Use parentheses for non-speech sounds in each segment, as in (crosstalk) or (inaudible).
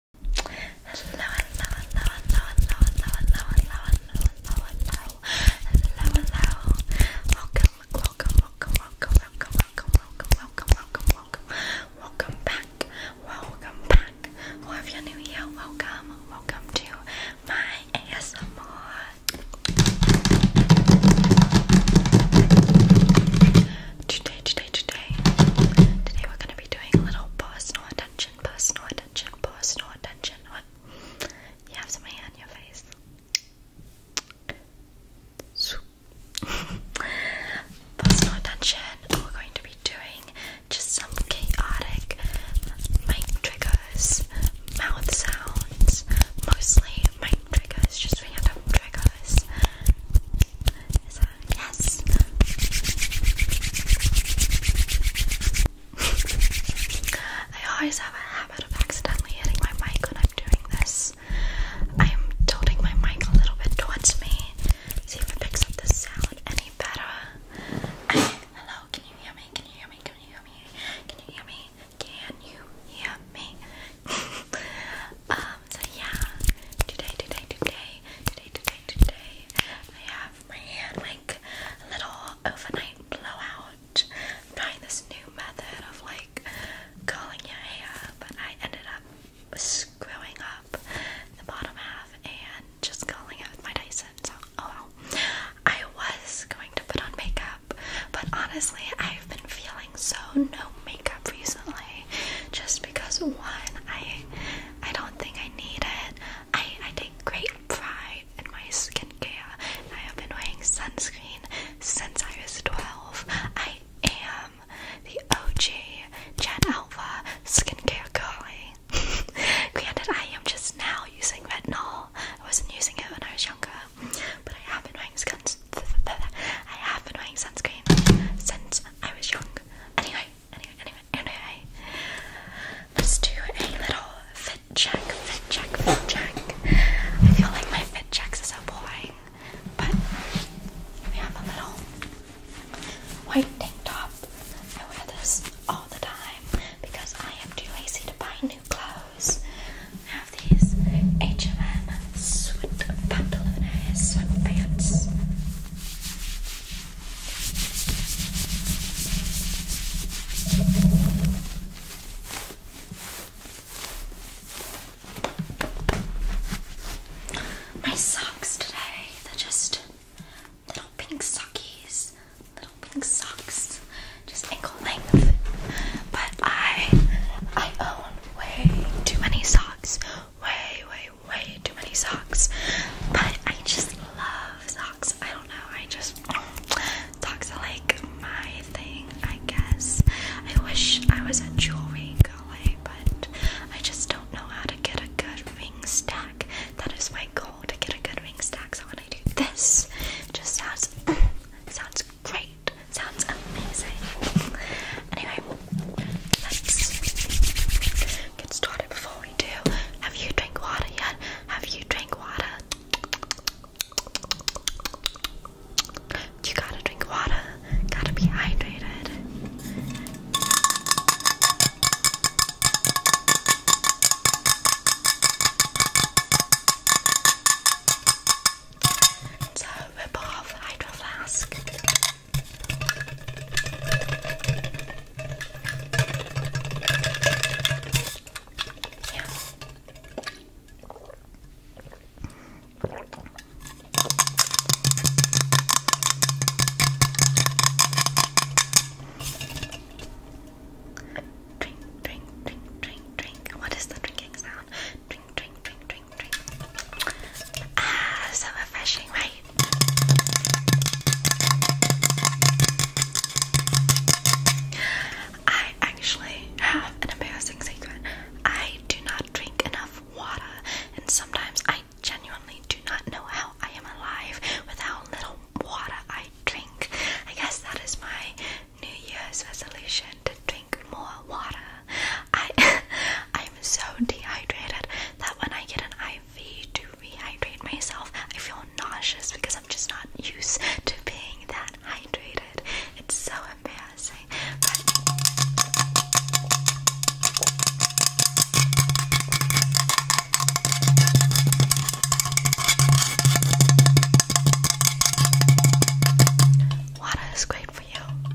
hello, hello, hello, hello, hello, hello, hello, hello, hello, hello, welcome, welcome, welcome, welcome, welcome, welcome, welcome, welcome, welcome, welcome, welcome back, welcome back, or if you're new here, welcome, welcome to my ASMR. Today, today, today. Today we're gonna be doing a little personal attention, personal attention, personal attention. You have some something on your face. (laughs) personal attention. We're going to be doing just some chaotic mic triggers, mouth sounds, mostly mic triggers, just random triggers yes? I always have a habit of accidentally hitting my mic when I'm doing this. I am tilting my mic a little bit towards me. See if it picks up the sound any better. hello, can you hear me? Can you hear me? Can you hear me? Can you hear me? Can you hear me? (laughs) Um, yeah, today, today, today, today, today, today, I have my hand like a little overnight blowout. I'm trying this new method of like curling your hair, but I ended up screwing up the bottom half and just curling it my Dyson. So, oh well. I was going to put on makeup, but honestly, I've been feeling so no makeup recently. Just because one, I I don't think I need it. I take great pride in my skincare. I have been wearing sunscreen since I was 12. I am the OG Gen Alpha skincare girlie. (laughs) Granted, I am just now using retinol. I wasn't using it when I was younger, but I have been wearing skins. (laughs) I have been wearing sunscreen since I was young. Anyway, anyway, anyway, anyway. Let's do a little fit check, fit check, fit check. I feel like my fit check is so boring, but we have a little white tank top. I wear this all the time because I am too lazy to buy new clothes. I have these H&M sweat pantalones, sweatpants. My socks today, they're just little pink sockies, little pink socks, just ankle length. But I I own way too many socks, way, way, way too many socks. But I just love socks. I don't know. I just socks are like my thing, I guess. I wish I was a jewelry guy, but I just don't know how to get a good ring stack. That is my goal to get a good ring stack. So when I do this, just sounds (clears throat) sounds great. Sounds amazing. Anyway, let's get started before we do. Have you drink water yet? Have you drink water? You gotta drink water, gotta be hydrated. So rip off hydro flask. Drink, drink, drink, drink, drink. What is the drinking sound? Drink, drink, drink, drink, drink. Ah, so refreshing, right? I actually have an embarrassing secret. I do not drink enough water, and sometimes I genuinely do not know how I am alive without little water I drink. I guess that is my New Year's resolution to drink more water. I am (laughs) so dehydrated that when I get an IV to rehydrate myself, I feel nauseous because I'm just not used to being that hydrated. It's so embarrassing. Water is great for you.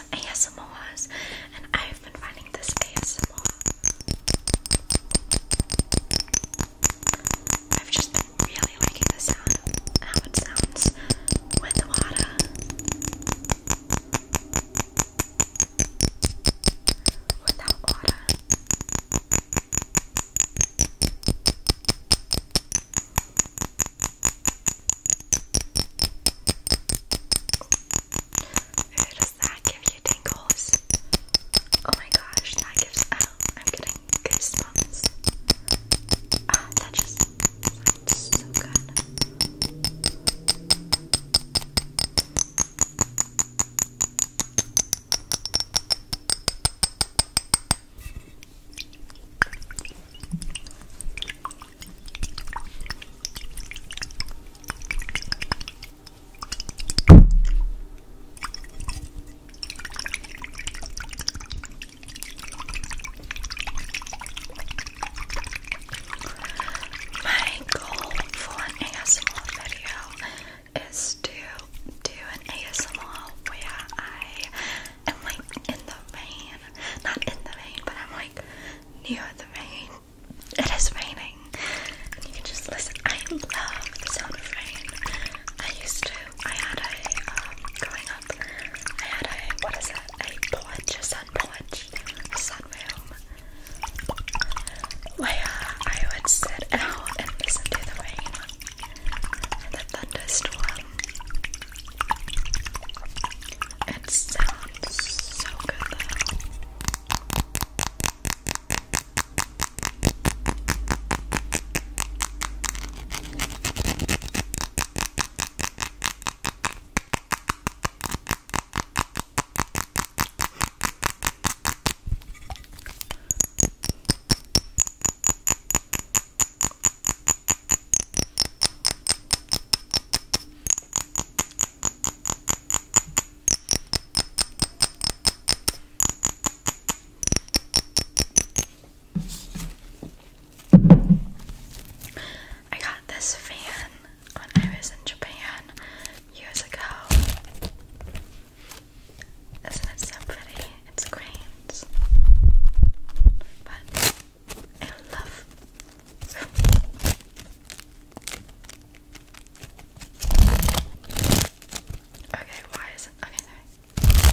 some ASMRs, and I've been finding this ASMR. I've just been really liking the sound how it sounds with water. Without water does that give you tingles? Oh my gosh, that gives oh, I'm getting goosebumps. Ah, that just sounds so good. My goal for an ASMR video is to do an ASMR where I am like in the vein, not in the vein, but I'm like near the rain. It is raining. And you can just listen. I love the sound of rain. I used to, I had a, um, up, I had a, what is it, a porch, a sun porch, a sun room, where I would sit out and listen to the rain and the thunderstorm. It sounds so good though. I got this fan when I was in Japan years ago. Isn't it so pretty? It's great. But Okay, why is it? Okay, sorry.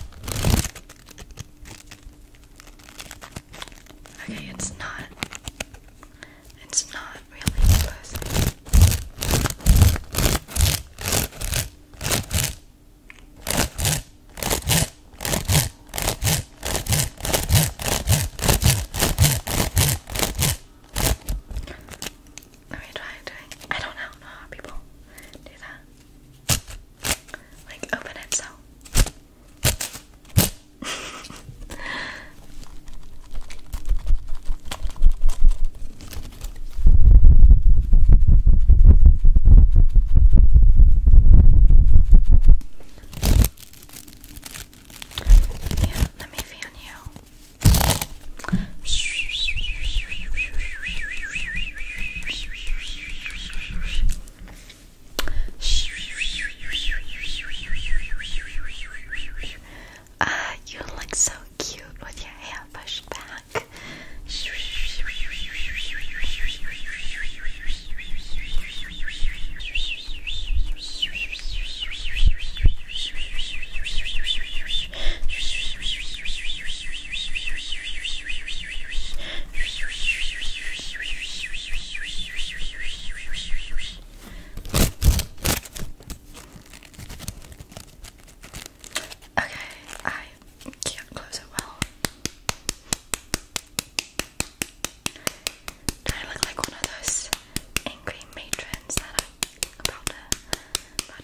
Okay, it's not. It's not really close. Let me I don't know how people do that. Like open it so let me fan you. Ah, you look so cute with your hair pushed back. Okay, I can't close it well. Do I look like one of those angry matrons that are about to, about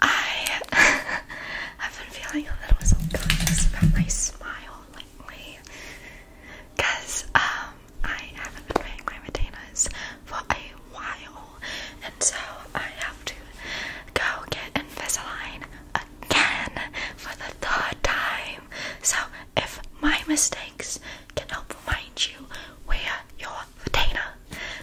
I have (laughs) been feeling a little self-conscious about my smile lately. Cause um I haven't been paying my retainers for a while, and so I have to go get Invisalign again for the third time. So, if my mistakes can help remind you where your retainer,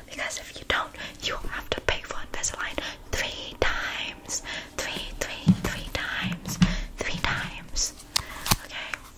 because if you don't, you will have to pay for Invisalign three times, three, three, three times, three times. Okay.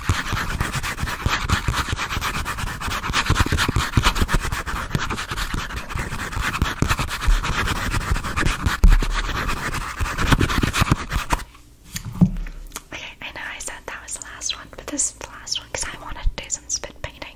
Okay, I know I said that was the last one, but this is the last one because I wanted to do some spit painting.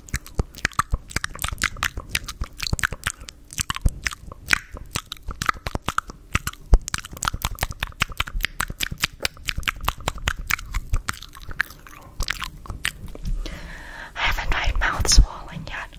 I haven't my mouth swollen yet.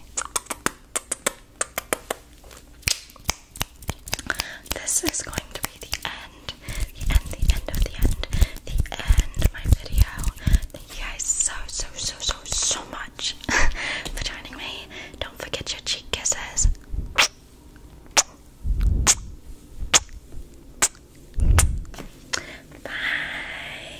This is going to be the end, the end, the end of the end, the end of my video. Thank you guys so, so, so, so, so much (laughs) for joining me. Don't forget your cheek kisses. Bye.